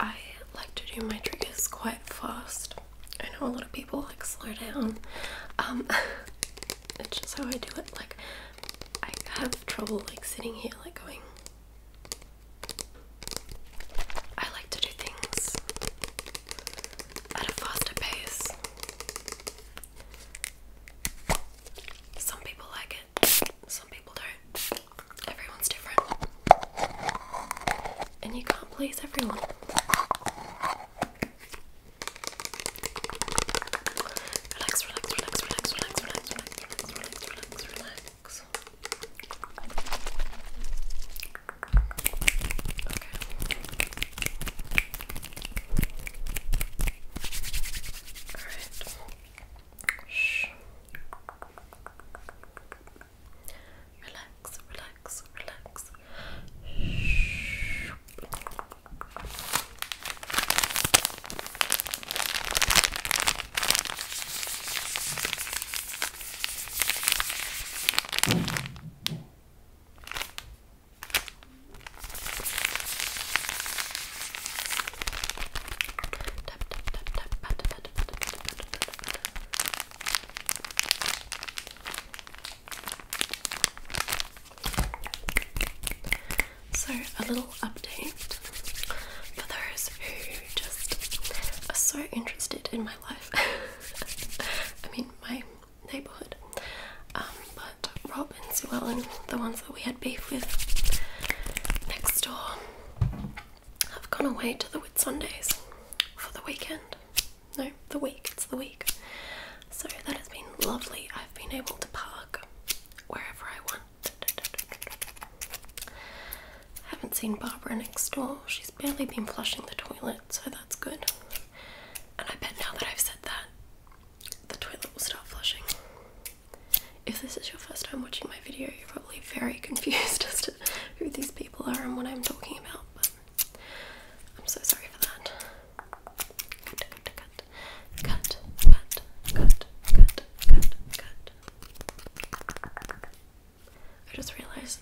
I like to do my triggers quite fast. I know a lot of people like slow down. Um, it's just how I do it. Like, I have trouble like sitting here, like going. I like to do things at a faster pace. Some people like it, some people don't. Everyone's different. And you can't please everyone. Relax, relax, relax, relax, relax, relax, relax, relax, relax, Shh relax, relax, relax. Tap tap tap tap pat so, a little update for those who just are so interested in my life. I mean, my neighbourhood. Um, but Rob and Sue Ellen, the ones that we had beef with next door, I've gone away to the Whitsundays for the weekend. No, the week, it's the week. So that has been lovely. I've been able to park wherever I want. I haven't seen Barbara next door. She's barely been flushing the toilet, so that's good. And I bet now that I've said that, the toilet will start flushing. If this is your first time watching my video, you're probably very confused as to who these people are and what I'm talking about, I'm so sorry for that. Cut, cut, cut, cut, cut, cut, cut, cut, cut. I just realised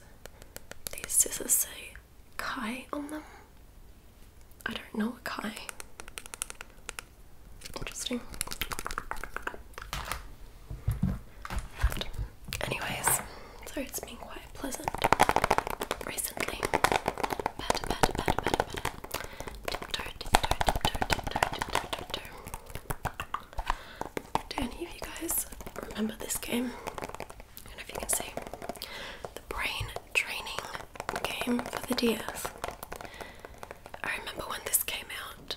these scissors say Kai on them. I don't know a Kai. Interesting. Anyways, so it's been quite pleasant recently. Do any of you guys remember this game? I don't know if you can see. The brain training game for the DS. I remember when this came out,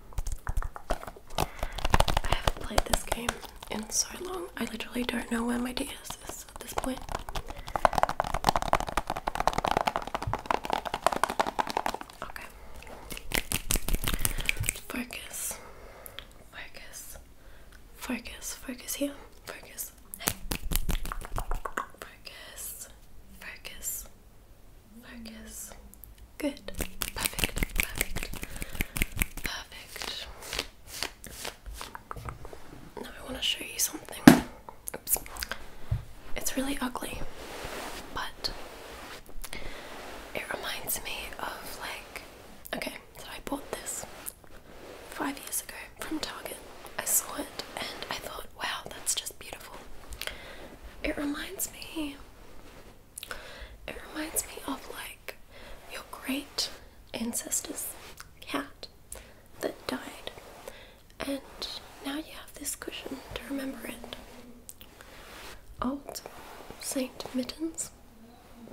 I haven't played this game in so long. I literally don't know where my DS is at this point. Okay. Focus. Focus. Focus. Focus here. Focus. Focus. Focus. Focus. Good. Perfect. Perfect. Perfect. Now I want to show you something. Oops. It's really ugly, but it reminds me of like. Okay, so I bought this five years ago from Target. I saw it and I thought, wow, that's just beautiful. It reminds me it reminds me of like your great ancestor's cat that died, and now you have this cushion to remember it. Old Saint Mittens?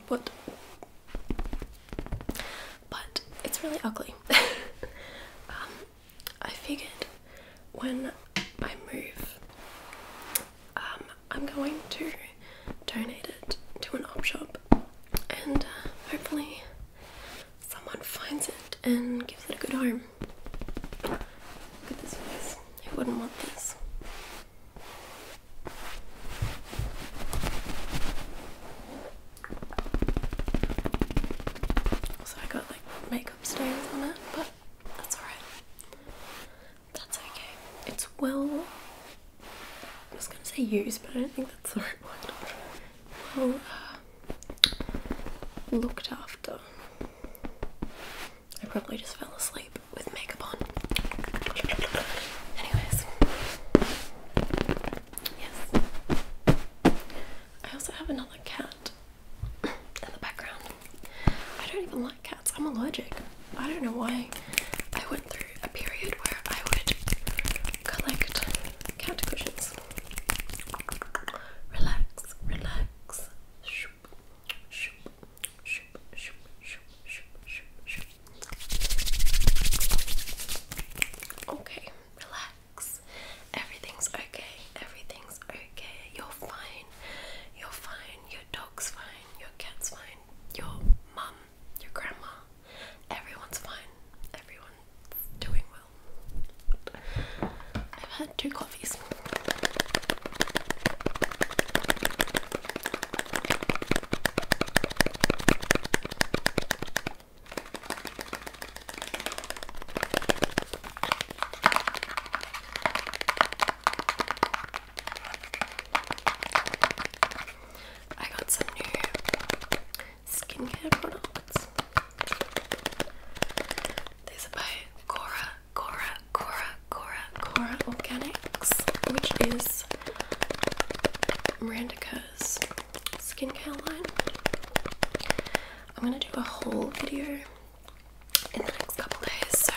What? But it's really ugly. Um, I figured when I move, um, I'm going to donate it to an op shop and uh, hopefully someone finds it and gives it a good home. Look at this face. Who wouldn't want this? Also, I got like makeup stains on it, but that's alright. That's okay. It's well. I was gonna say used, but I don't think that's the right word. Well, uh, looked after. I probably just fell asleep with makeup on. Anyways, yes. I also have another cat in the background. I don't even cats. I'm allergic. I don't know why. I went through a period where I would collect cat cushions. Relax, relax. Okay, relax. Everything's okay. Everything's okay. You're fine. You're fine your dog's fine, your cat's fine, your mum, your grandma, everyone's fine, everyone's doing well. I've had two coffees. I got some new skincare products. These are by Cora, Cora, Cora, Cora, Cora Organics, which is Miranda Kerr's skincare line. I'm gonna do a whole video in the next couple days, so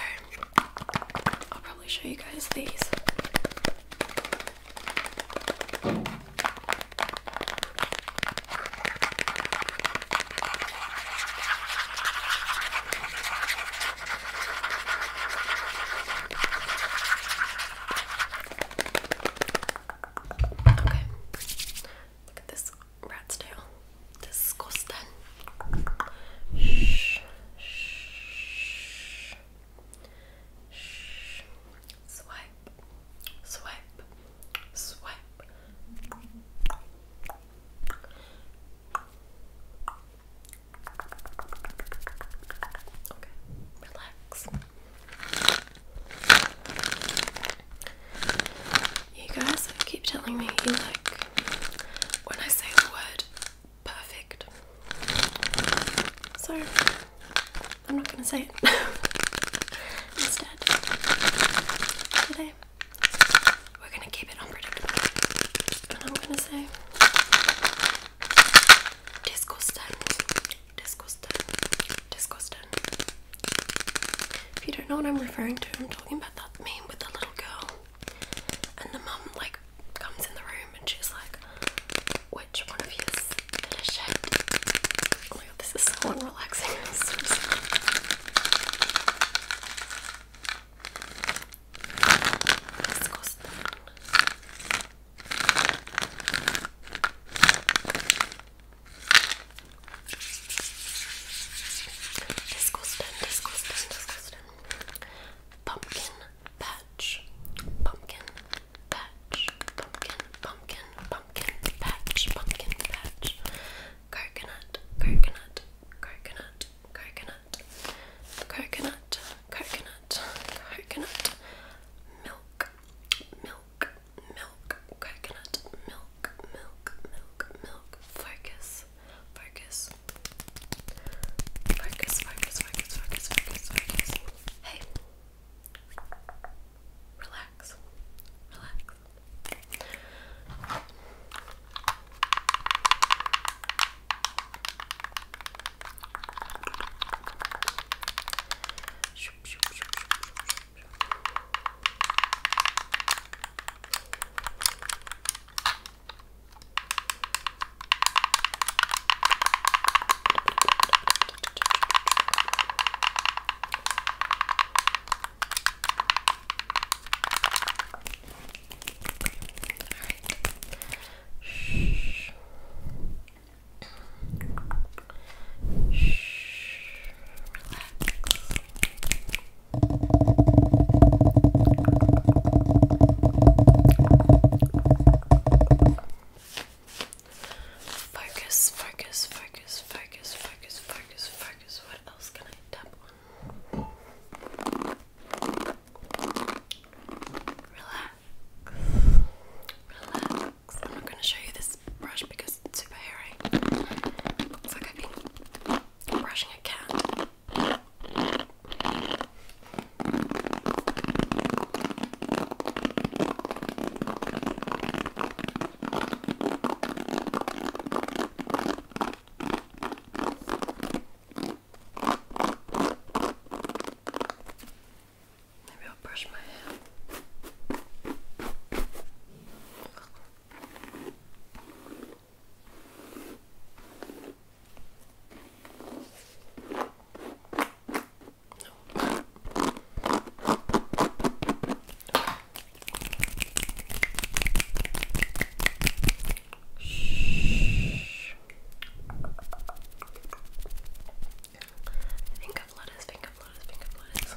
I'll probably show you guys these. Okay. Look at this rat's tail. Disgusting. Shh. Shh. Shh. Swipe. Swipe. Swipe. Okay, relax. You guys keep telling me you like when I say the word perfect. So I'm not gonna say it instead. Today we're gonna keep it unpredictable. And I'm gonna say disgusting. Disgusting. Disgusting. If you don't know what I'm referring to, I'm talking about that meme with the little girl and the mum like comes in the room and she's like, which one of you is in a shape? Oh my god, this is so unrelaxing. So Let's go Disgusting, disgusting, disgusting pumpkin patch, pumpkin patch, pumpkin, pumpkin, pumpkin patch, pumpkin patch, coconut, coconut, coconut, coconut, coconut, coconut, coconut, milk, milk, milk, coconut, milk, milk, milk, milk, focus, focus, Focus, focus, focus, focus, focus, focus. Hey. Relax. Relax. Shh. Shh. Relax. Focus, focus, focus, focus, focus, focus, focus. What else can I tap on? Relax. Relax. I'm not going to show you this brush because it's super hairy. It's like I've been brushing a cat. Maybe I'll brush my hair. Shh. I think I've lettuce, think I've lettuce, think I've lettuce.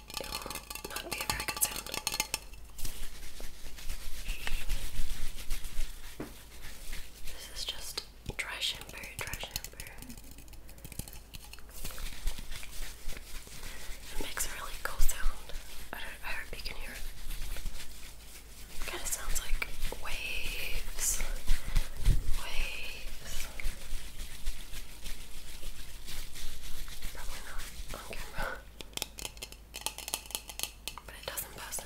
it This is just dry shampoo, dry shampoo. It makes a really cool sound. I, hope you can hear it kind of sounds like waves. Waves. Probably not on camera. But it doesn't buzzin'.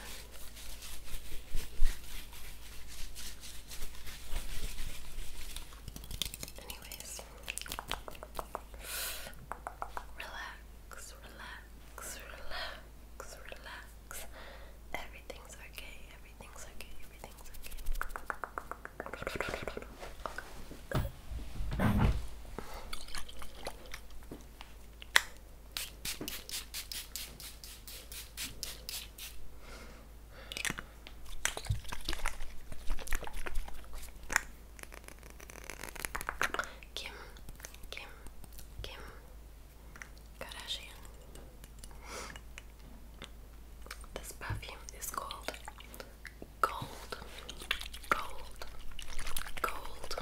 Anyways, relax, relax, relax, relax. Everything's okay, everything's okay, everything's okay. Kim, Kim, Kim Kardashian. This perfume is called gold, gold, gold.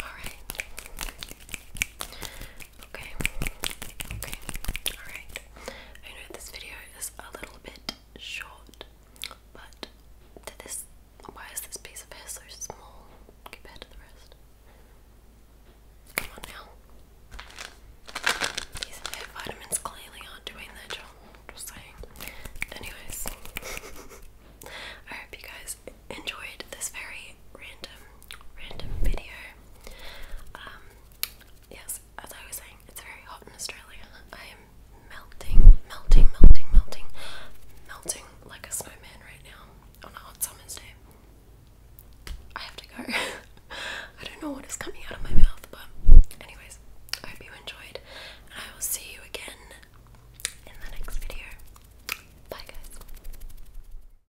All right. Okay. Okay. Alright. I know this video is a little bit short, but did this why is this piece of hair so small compared to the rest? Come on now. These vitamins clearly aren't doing their job. Just saying. Anyways, I hope you guys enjoyed this very random, random video. Um, yes, as I was saying, it's very hot in Australia. I am melting, melting, melting, melting, melting like a snowman right now on a hot summer's day. I have to go. I don't know what is coming out of my mouth, but, anyways, I hope you enjoyed, and I will see you again in the next video. Bye, guys.